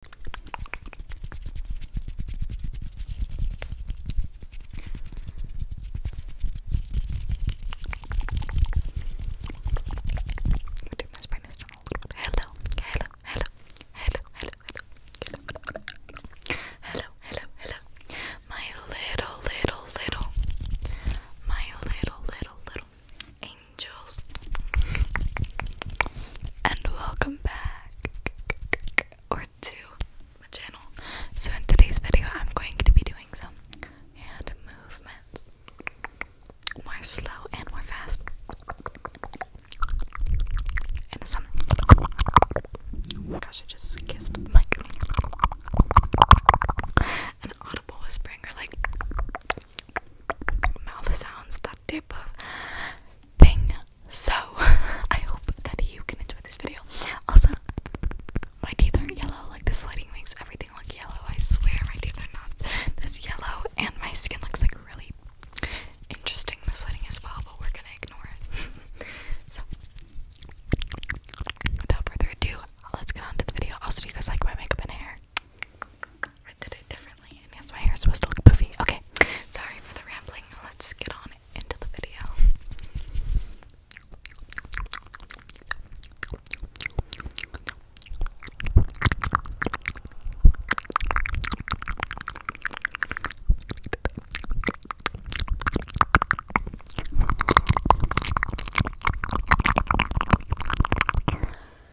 do my spine is a little bit. Hello, hello, hello, hello, hello, hello, hello, hello, hello, my little, little, little, my little, little, little angel and welcome back or to my channel. So in today's video, I'm going to be doing some hand movements, more slow and more fast, and some. Oh gosh, I just kissed the An audible whispering or like mouth sounds, that type of thing. So, I hope that you can enjoy this video. Also, my teeth aren't yellow, like this lighting makes everything look yellow. I swear my teeth are not this yellow, and my skin looks like really interesting this lighting as well, but we're gonna ignore it. so, without further ado, let's get on the video. Also, do you guys like my makeup and hair? I did it differently, and yes, my hair is supposed to look poofy. Okay, sorry for the rambling. Let's get on into the video.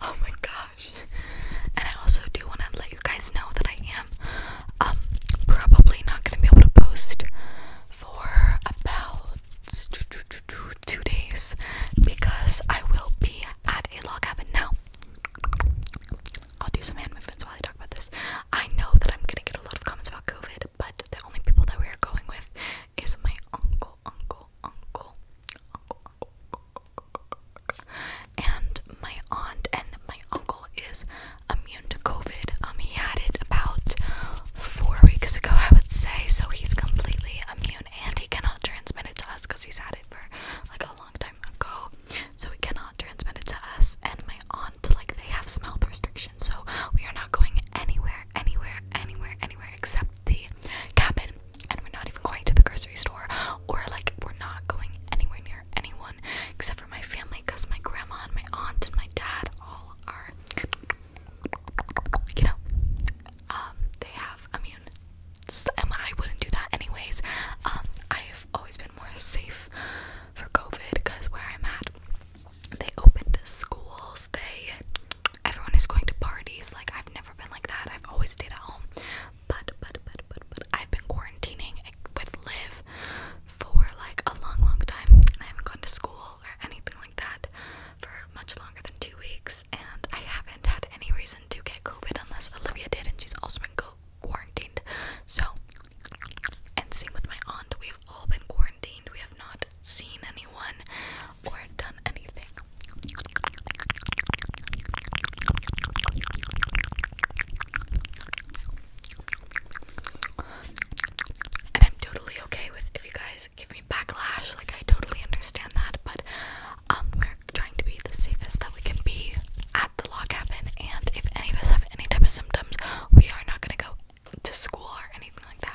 Oh my gosh. And I also do want to let you guys know that I am um, probably not going to be able to post for about two days because I will be at a log cabin now. I'll do some hand movements while I talk about this. I know that I'm gonna get a lot of comments about COVID, but the only people that we are going with is my uncle, uncle, uncle, uncle, uncle, uncle and my aunt and my uncle is immune to COVID. Um, he had it about four weeks ago, I would say, so he's completely immune and he cannot transmit it to us because he's had it for like a long time ago. So he cannot transmit it to us and my aunt, like they have some health restrictions. So we are not going anywhere, anywhere, anywhere, anywhere except the cabin. And we're not even going to the grocery store or like we're not going anywhere near anyone except for my family because my grandma and my aunt and my dad all are you know, um, they have immune. I wouldn't do that anyways. Um, I have always been more safe for COVID because where I'm at, they opened schools. They, everyone is going to parties. Like I've never been like that. I've always stayed at home. But but but but but I've been quarantining with Live for like a long long time, and I haven't gone to school or anything like that for much longer than two weeks, and I haven't had any reason to get COVID unless Olivia did, and she's also been quarantined. So, and same with my aunt, we've all been quarantined. We have not seen anyone or done anything. And I'm totally okay with if you guys give backlash. Like I totally understand that, but um, we're trying to be the safest that we can be at the log cabin. And if any of us have any type of symptoms, we are not gonna go to school or anything like that.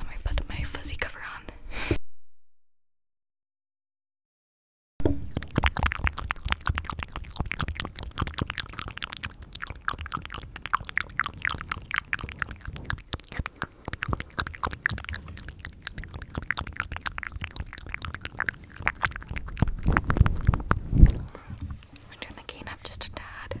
Let me put my fuzzy cover on. I turn the cane up just a tad.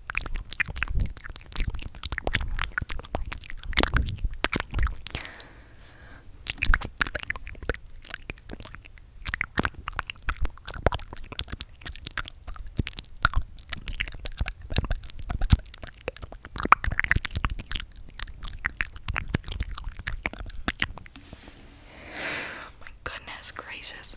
Oh my goodness gracious.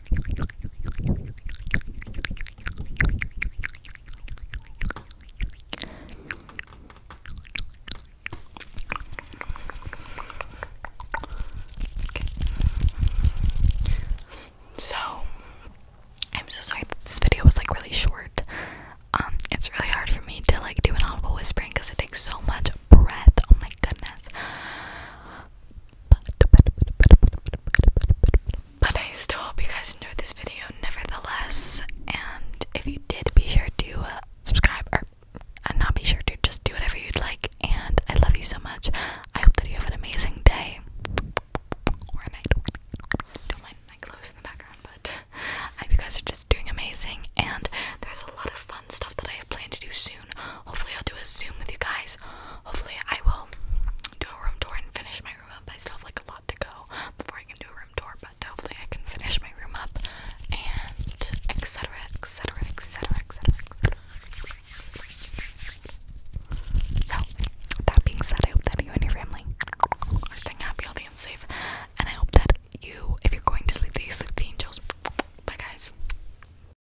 So, I'm so sorry this video was like really short. Um, it's really hard for me to like do an audible whispering because it takes so much breath. Oh my goodness. But I still hope you guys enjoyed this video nevertheless. And if you did, be sure to uh, subscribe or uh, not be sure to just do whatever you'd like. And I love you so much. I hope that you have an amazing day or night. Don't mind my clothes in the background, but I hope you guys are just doing amazing. And there's a lot of fun stuff that I have to do soon soon. Hopefully, I'll do a Zoom with you guys. Hopefully, I will do a room tour and finish my room up. I still have like a lot to go before I can do a room tour, but hopefully, I can finish my room up and etc. etc. etc. etc. So, that being said, I hope that you and your family are staying happy, healthy, and safe. And I hope that you, if you're going to sleep, that you sleep with the angels. Bye, guys.